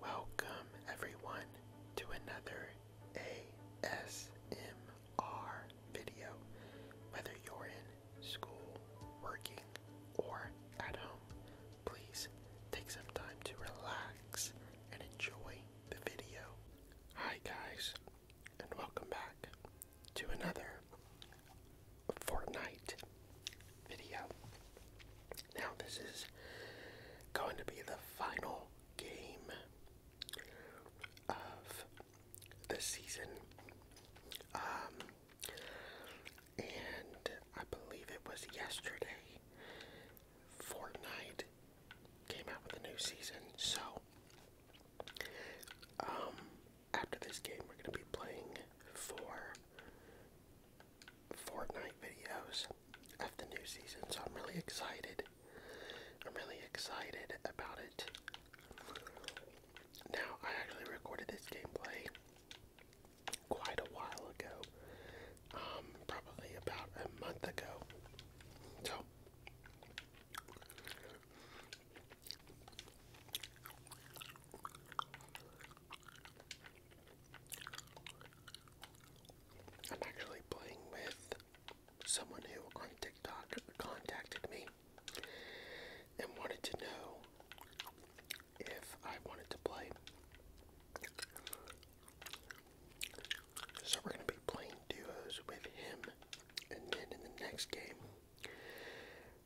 Welcome, everyone, to another ASMR video. Whether you're in school, working, or at home, please take some time to relax and enjoy the video. Hi, guys, and welcome back to another Fortnite video. Now, this is going to be the final game of the season. Um, and I believe it was yesterday, Fortnite came out with a new season. So, um, after this game, we're going to be playing for Fortnite videos of the new season, so I'm really excited. I'm really excited about it. Now, I actually recorded this gameplay quite a while ago, um, probably about a month ago. So, I'm actually playing with someone who on TikTok contacted me and wanted to know if I wanted to play. So we're going to be playing duos with him, and then in the next game,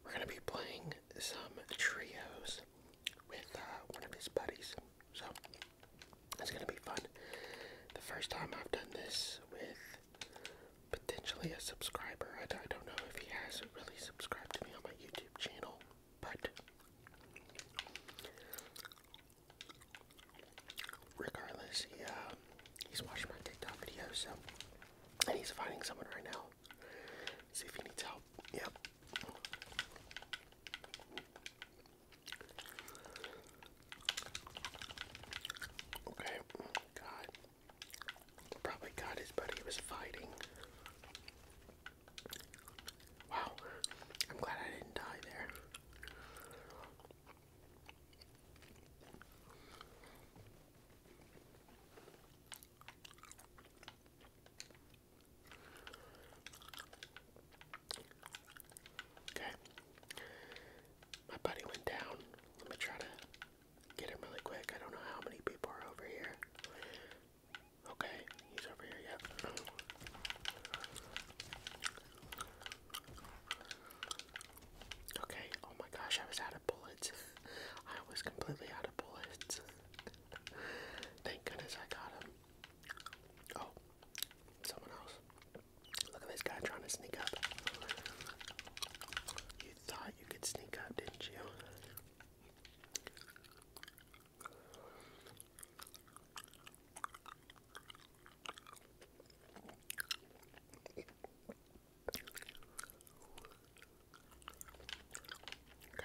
we're going to be playing some trios with uh, one of his buddies. So it's gonna be fun. The first time I've done this with potentially a subscriber. I, don't know if he has really subscribed to me on my YouTube channel, but regardless, uh, he's watching my TikTok videos, and he's finding someone right now. See if he needs help. Yep. Okay, God. Probably got his buddy was fighting. Wow, I'm glad I didn't die there. Okay. My buddy went down. Let me try to get him really quick. I don't know how many people are over here. Okay, he's over here, yep. Okay, oh my gosh, I was out of bullets. I was completely out of bullets. Thank goodness I got him. Oh, someone else. Look at this guy trying to sneak up. You thought you could sneak up, didn't you? Okay.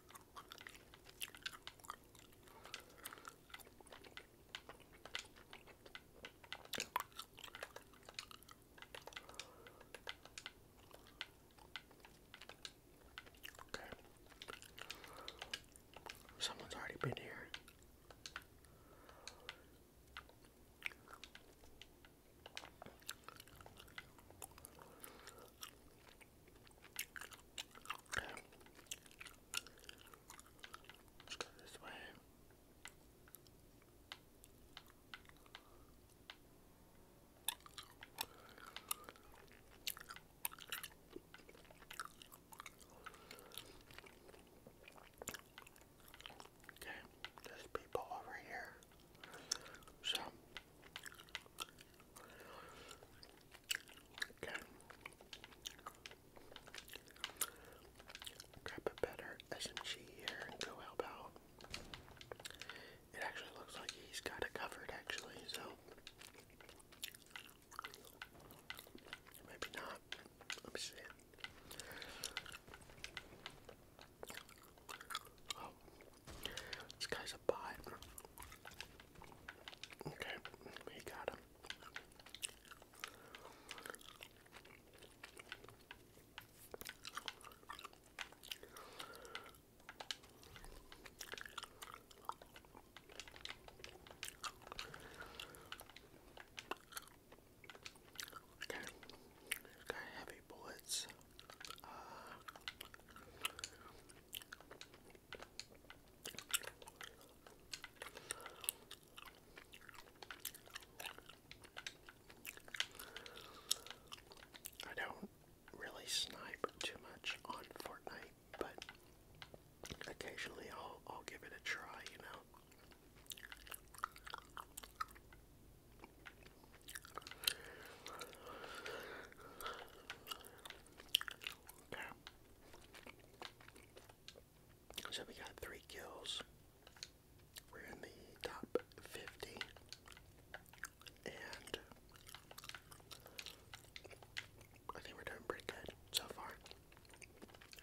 Someone's already been here. Okay. let this way. Okay, there's people over here. So Grab a better SMG here and go help out. It actually looks like he's got it covered, actually, so. Maybe not. Let me see. Oh, this guy's a bot. Okay, we got him. Okay, got heavy bullets. Uh, I don't really snipe too much on Fortnite, but occasionally I'll I'll give it a try, you know. So we got three kills. We're in the top 50. And I think we're doing pretty good so far.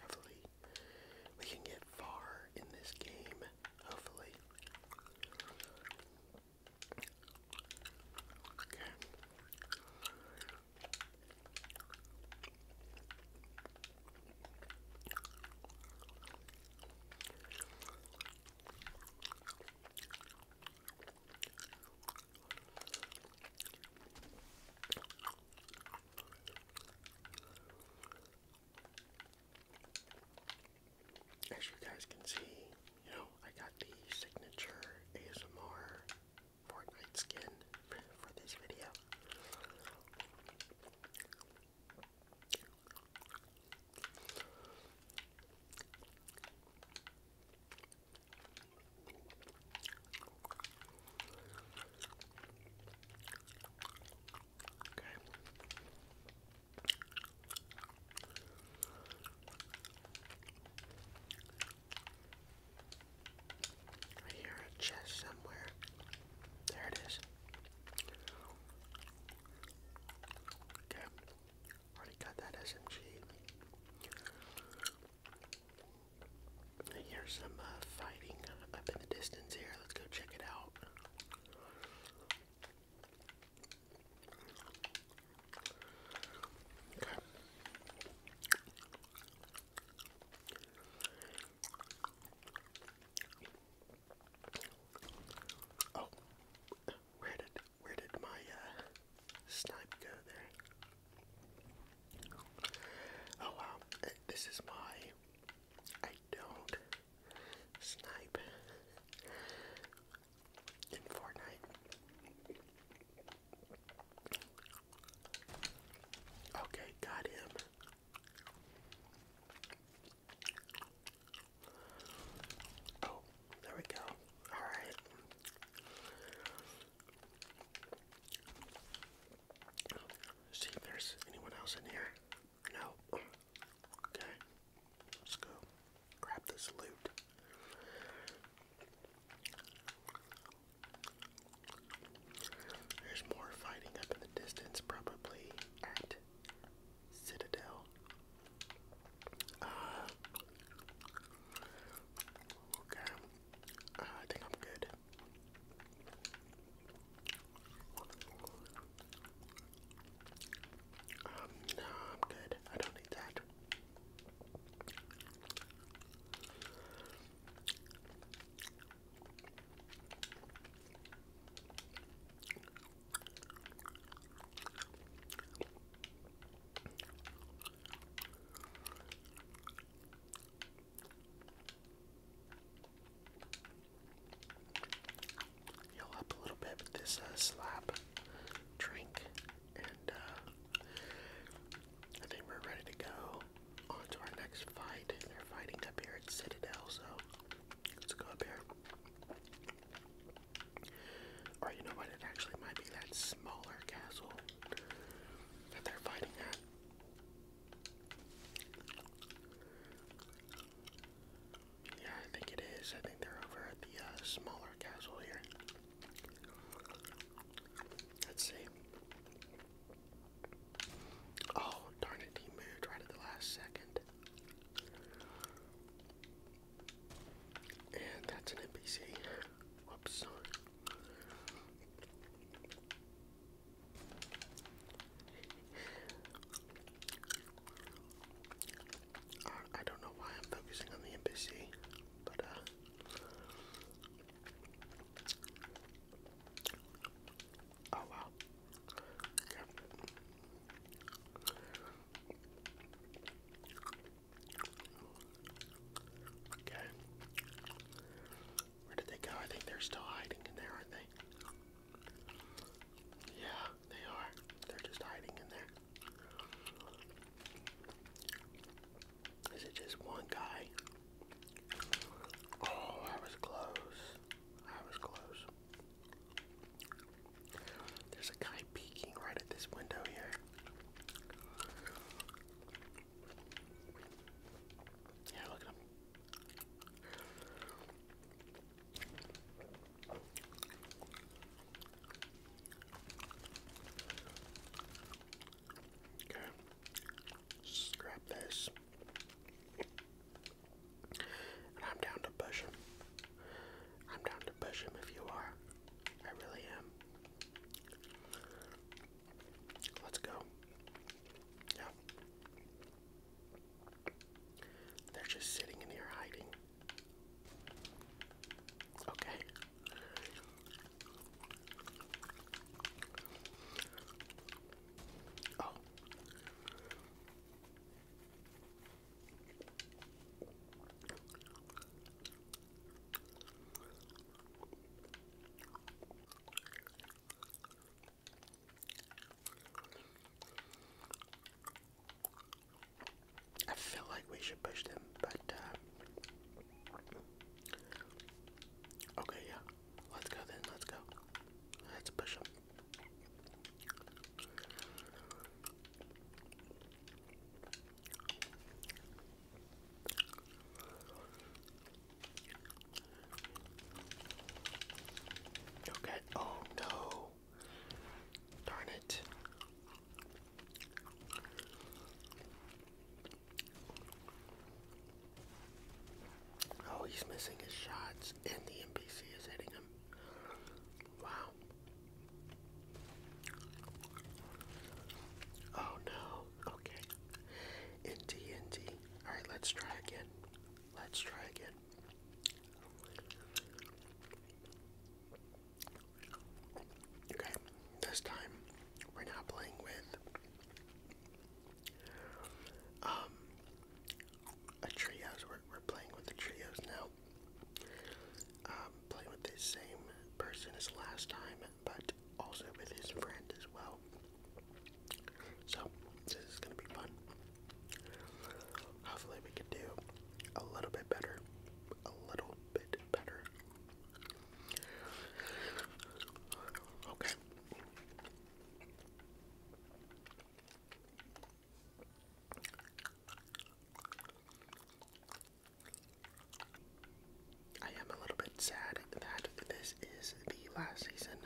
Hopefully, we can get far in this game. Hopefully. Okay. As you guys can see, you know, I got the signature ASMR Fortnite skin for this video. Okay. I hear a chest somewhere. There it is. Okay. Already got that SMG. I hear some uh, fighting up in the distance here. Let's go check it out. Oh, where did where did my uh, snipe go there? Oh wow, uh, this is my I don't snipe in Fortnite. Okay, got him. Oh, there we go. Alright. See if there's anyone else in here. No. Okay. Let's go grab this loot. There's more fighting up in the distance, probably at Citadel. Uh, okay, uh, I think I'm good. Um, no, I'm good. I don't need that. Yell up a little bit with this uh, drink and uh, I think we're ready to go on to our next fight. They're fighting up here at Citadel, so let's go up here. Or you know what? It actually might be that smaller castle that they're fighting at. Yeah, I think it is. I think they're over at the uh, smaller castle here. Let's see. Oh, darn it, he moved right at the last second. And that's an NPC. Whoops. I don't know why I'm focusing on the NPC, but uh Oh wow. Yeah. Okay. Where did they go? I think they're still hiding in there, aren't they? Yeah, they are. They're just hiding in there. Is it just one guy? Oh, I was close. I was close. There's a guy peeking right at this window here. Yeah, look at him. Okay, scrap this. I'm down to push him. I'm down to push him if you are. I really am. Let's go. Yeah. They're just sitting in here hiding. Okay. Oh. I feel like we should push them, but uh, Okay, yeah. Let's go then. Let's go. Let's push Okay. Oh no. Darn it. Oh, he's missing his shots, and the NPC is hitting him. Wow. Oh no. Okay. In TNT. Alright, let's try again. Let's try again. Okay, this time we're now playing with um a trios. We're we're playing with the trios now. Um, playing with the same person as last time, but also with his friend as well. So this is gonna be fun. Hopefully we can do a little bit better. A little bit better Okay. I am a little bit sad that this is the last season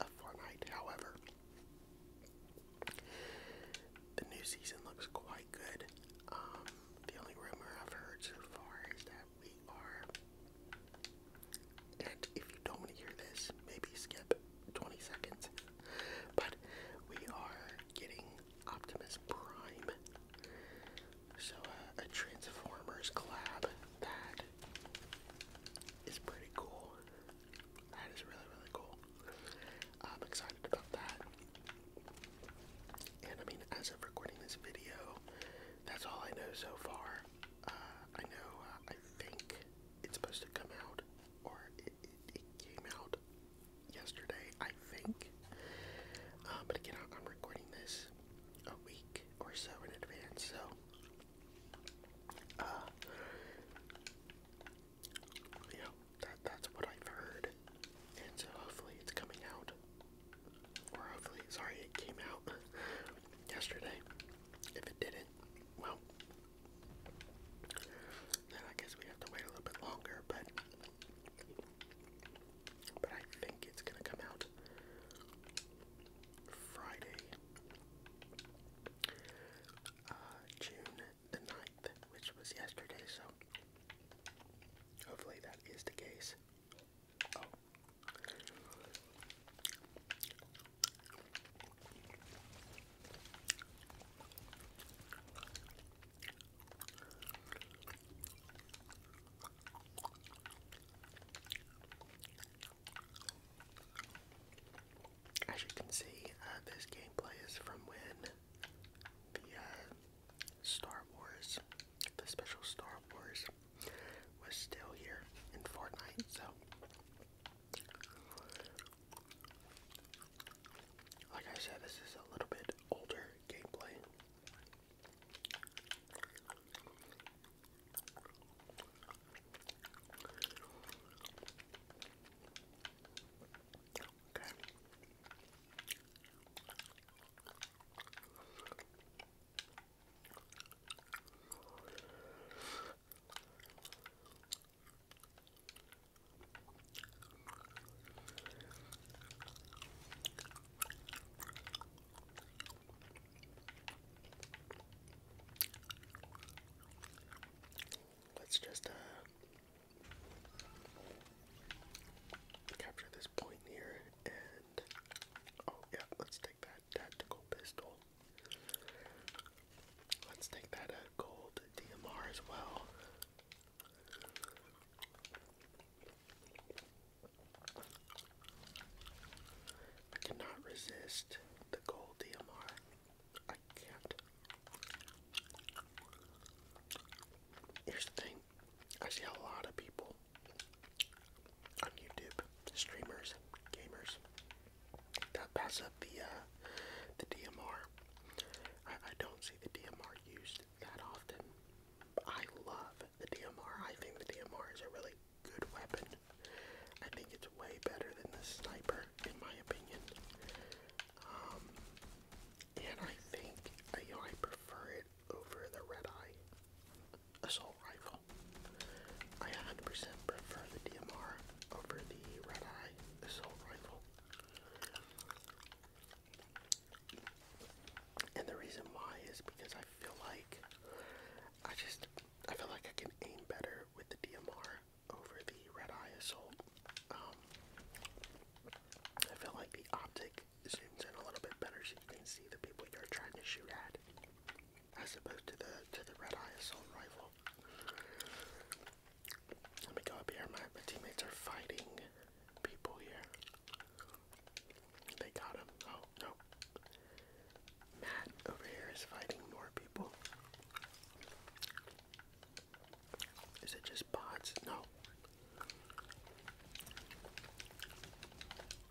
of Fortnite, however, the new season looks quite good. Um, the only rumor I've heard so far is that we are. And if you don't want to hear this, maybe skip 20 seconds. But we are getting Optimus Prime. So, uh, a Transformers collab that is pretty cool. That is really, really cool. I'm excited about that. And I mean, as of recording this video, that's all I know so far. Uh, I know, uh, I think it's supposed to come out, or it, came out yesterday, I think. Uh, but again, I'm recording this a week or so in advance, so. you know, that, that's what I've heard. And so hopefully it's coming out hopefully, sorry, it came out yesterday. If it didn't, well, then I guess we have to wait a little bit longer, but but I think it's gonna come out Friday, uh, June the 9th, which was yesterday, so hopefully that is the case. As you can see, uh, this gameplay is from when the uh, Star Wars, the special Star Wars, was still here in Fortnite, so. Like I said, this is a little bit older gameplay. Okay. Let's just uh, capture this point here and oh yeah, let's take that tactical pistol. Let's take that uh, gold DMR as well. I cannot resist the gold DMR. I can't. Here's the thing I see a lot of people on YouTube, streamers, gamers, that pass up the uh, the DMR. I, don't see the DMR used that often. I love the DMR. I think the DMR is a really good weapon. I think it's way better than the sniper, in my opinion. Um, and I think uh, you know, I prefer it over the red eye assault rifle. I 100% prefer the DMR over the red eye assault rifle. And the reason why is because I feel like I just I feel like I can aim better with the DMR over the red eye assault. Um, I feel like the optic zooms in a little bit better so you can see the people you're trying to shoot at as opposed to the to the red eye assault rifle. Let me go up here. My, my teammates are fighting people here. They got him. Oh no. Matt over here is fighting more people. Is it just bots? No.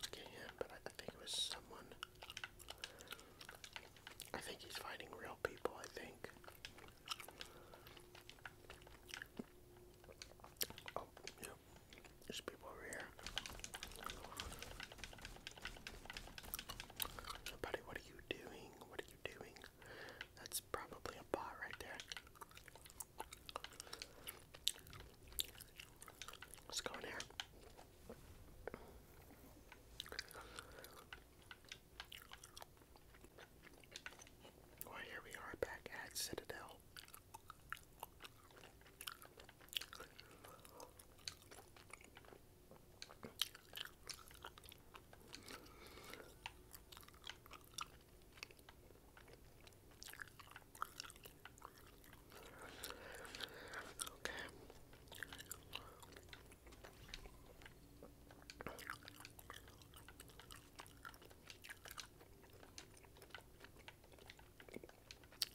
Okay, but I think it was someone. I think he's fighting real people, I think. Oh, yeah. There's people over here. Buddy, what are you doing? What are you doing? That's probably a bot right there. Let's go in here. Well, here we are back at Citadel.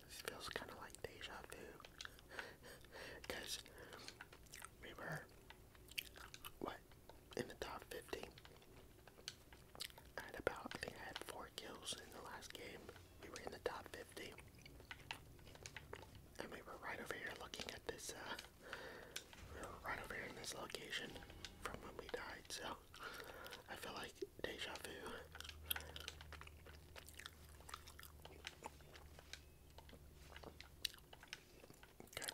This feels kind of like deja vu, because we what in the top fifty I had about, I think I had four kills in the last game. We were in the top 50. And we were right over here looking at this, uh, right over here in this location from when we died, so I feel like deja vu. Okay.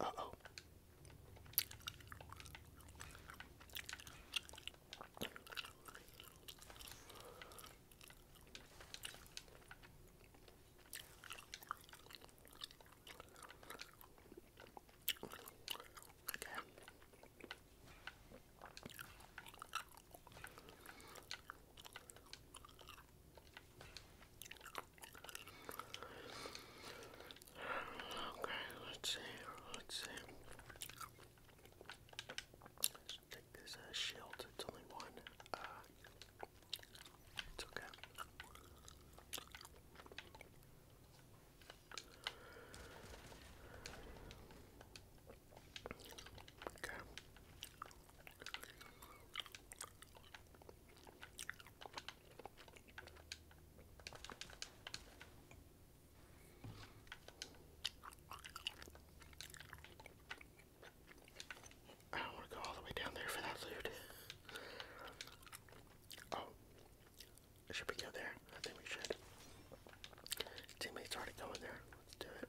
Uh oh. Okay. Okay, let's see. Let's see. Let's take this uh, shield. It's only one. Uh, it's okay. Okay. I don't want to go all the way down there for that loot. Oh. Should we go there? I think we should. Teammates already going there. Let's do it.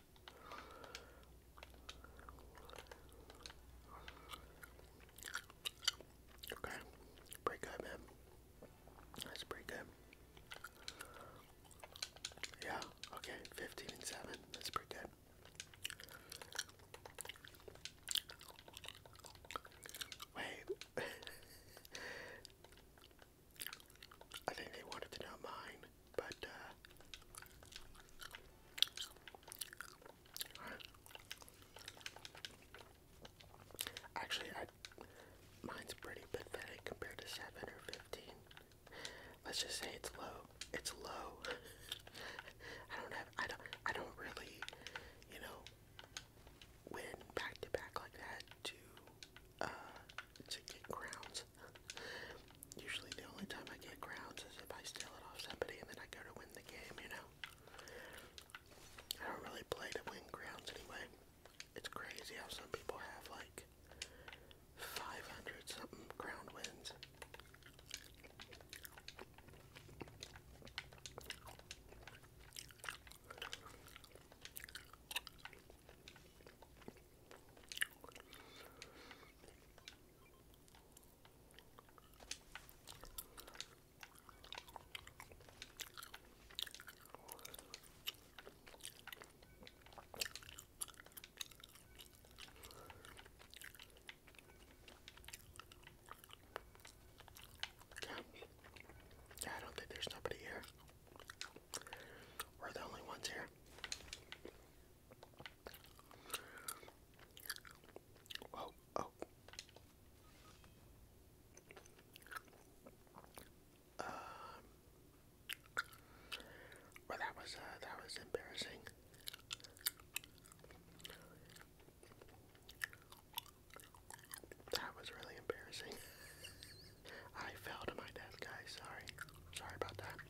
Okay, pretty good, man. That's pretty good. Yeah, okay, 15 and 7. That's pretty good. Wait. I think they wanted to know mine. But, uh, actually, mine's pretty pathetic compared to 7 or 15. Let's just say it's low. It's low. I don't have, I don't, I don't really, you know, win back to back like that to, uh, to get grounds. Usually the only time I get grounds is if I steal it off somebody and then I go to win the game, you know? I don't really play to win grounds anyway. It's crazy how some people have like 500 something ground wins. Yeah, I don't think there's nobody here. We're the only ones here. Oh, oh. Um, well, that was uh, that was embarrassing. That was really embarrassing. I fell to my death, guys. Sorry, sorry about that.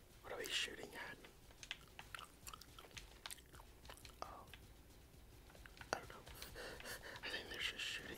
What are we shooting at? Oh. I don't know. I think they're just shooting.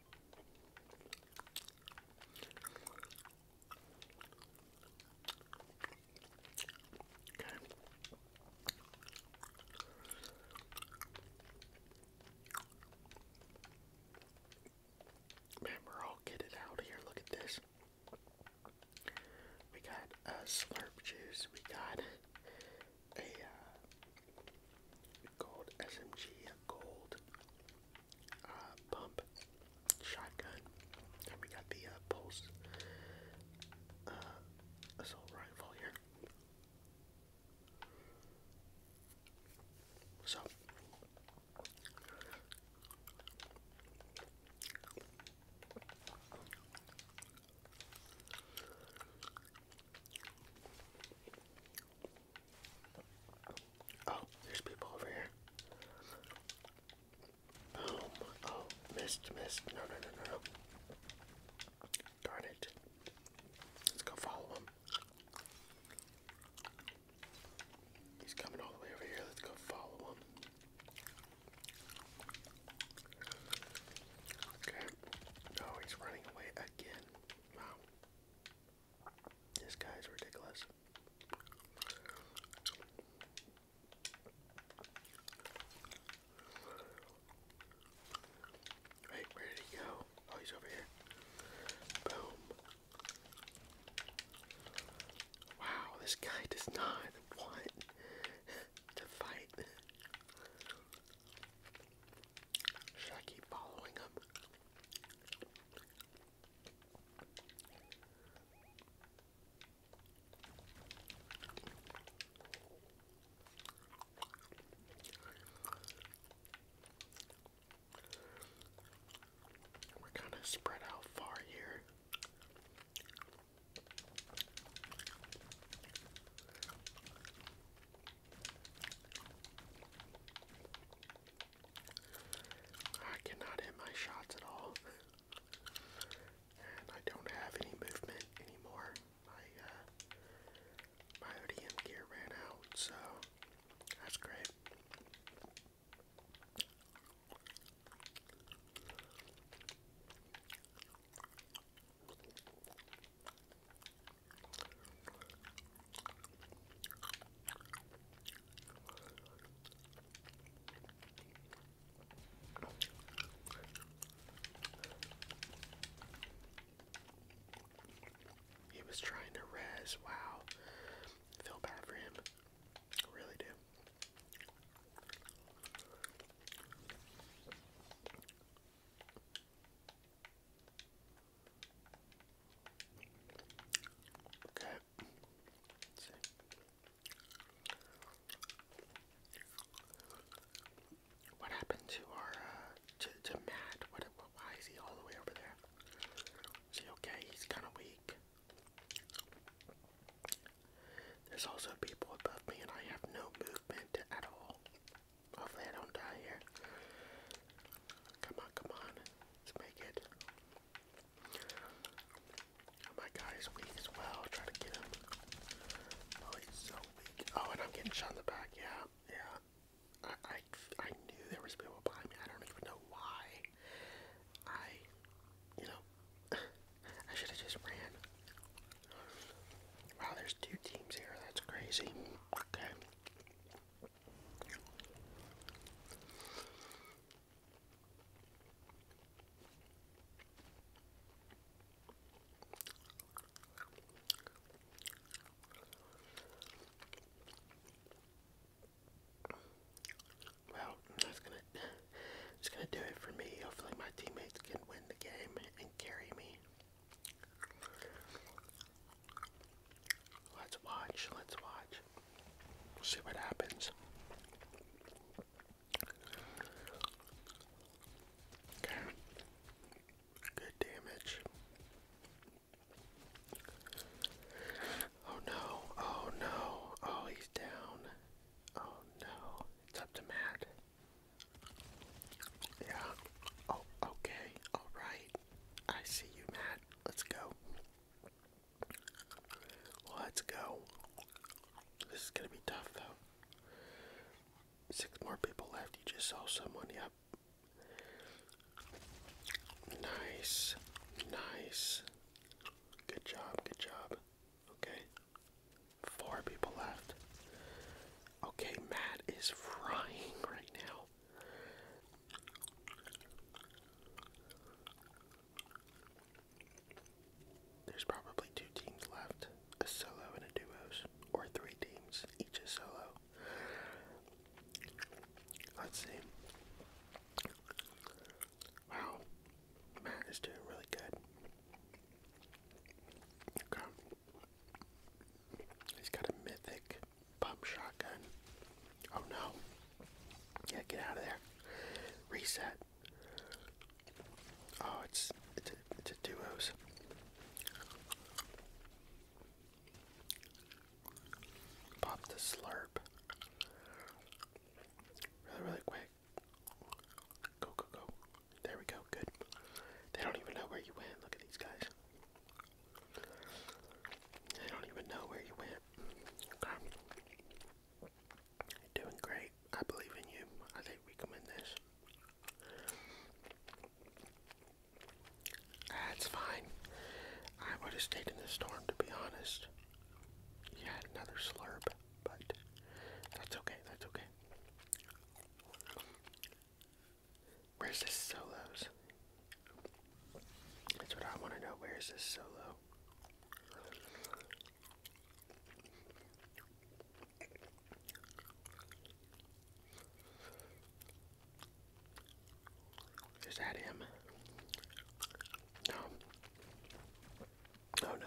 Okay. Man, we're all here. Look at this. We got a slurp juice. We got a uh, gold SMG, a gold uh, pump shotgun, and we got the uh, pulse uh, assault rifle here. So. Oh, there's people over here. Boom. Oh, missed, missed. No, no, no, no, no. Darn it. Let's go follow him. He's coming all the way over here. Let's go follow him. Okay. Oh, he's running away again. Wow. This guy's ridiculous. Right, where did he go? Oh, he's over here. Boom. Wow, this guy does not want to fight. Should I keep following him? We're kind of spread out far here. I cannot hit my shots at all. And I don't have any movement anymore. My uh, gear ran out, so that's great. He was trying to res. Wow. Feel bad for him. really do. Okay. let What happened to our uh, to, to Matt? what? Why is he all the way over there? Is he okay? He's kind of weak. There's also people above me, and I have no movement at all. Hopefully, I don't die here. Come on, come on. Let's make it. Oh, my guy is weak as well. Try to get him. Oh, he's so weak. Oh, and I'm getting shot in the back. Yeah, yeah. I, I, I knew there was people behind me. I don't even know why. I, you know, I should have just ran. Wow, there's two teams here. That's crazy. Okay. Well, that's gonna just gonna do it for me. Hopefully, my teammates can win the game and carry me. Let's watch, let's watch. See what happens. Okay. Good damage. Oh no, oh no, oh he's down. Oh no, it's up to Matt. Yeah. Oh, okay, alright. I see you, Matt. Let's go. Let's go. This is gonna be tough though. Six more people left. You just saw someone. Yep. Nice. Nice. Good job. Good job. Okay. Four people left. Okay, Matt is frying right now. There's probably two teams left, a solo and a duos, or three teams, each a solo. Let's see. Wow, Matt is doing really good. Okay. He's got a mythic Pump shotgun. Oh no. Yeah, get out of there. Reset. Oh, it's it's a, it's a duos. Pop the slurp. Really, really quick. Go, go, go. There we go. Good. They don't even know where you went. Look at these guys. I don't even know where you went. Okay. doing great. I believe in you. I think we can win this. That's fine. I would have stayed in the storm, to be honest. You had another slurp, but that's okay. That's okay. Where's the solos? That's what I want to know. Where is this solo? Is that him? No. Oh no.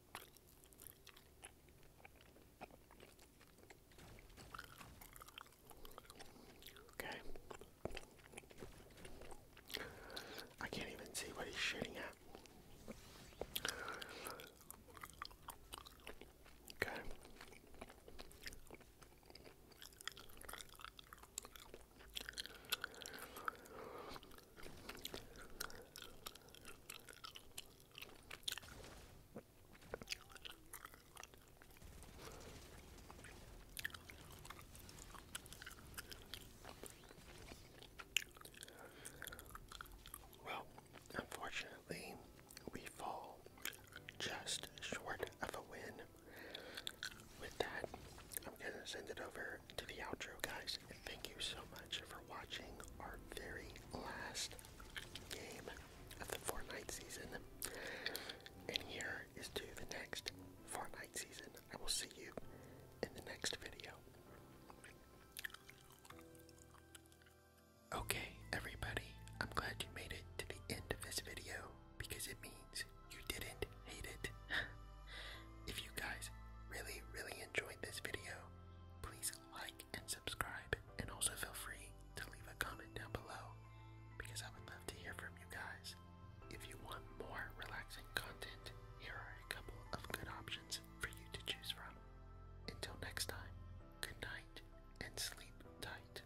Okay. I can't even see what he's shooting at. Okay. Well, unfortunately, we fall just short of a win. With that, I'm going to send it over to the outro, guys. Thank you so much for watching our very last game of the Fortnite season. And here is to the next Fortnite season. I will see you in the next video. Okay, everybody, I'm glad you made it to the end of this video because it means you didn't hate it. if you guys really, really enjoyed this video, please like, and subscribe, and also feel free to leave a comment down below because I would love to hear from you guys. If you want more relaxing content, here are a couple of good options for you to choose from. Until next time, good night and sleep tight.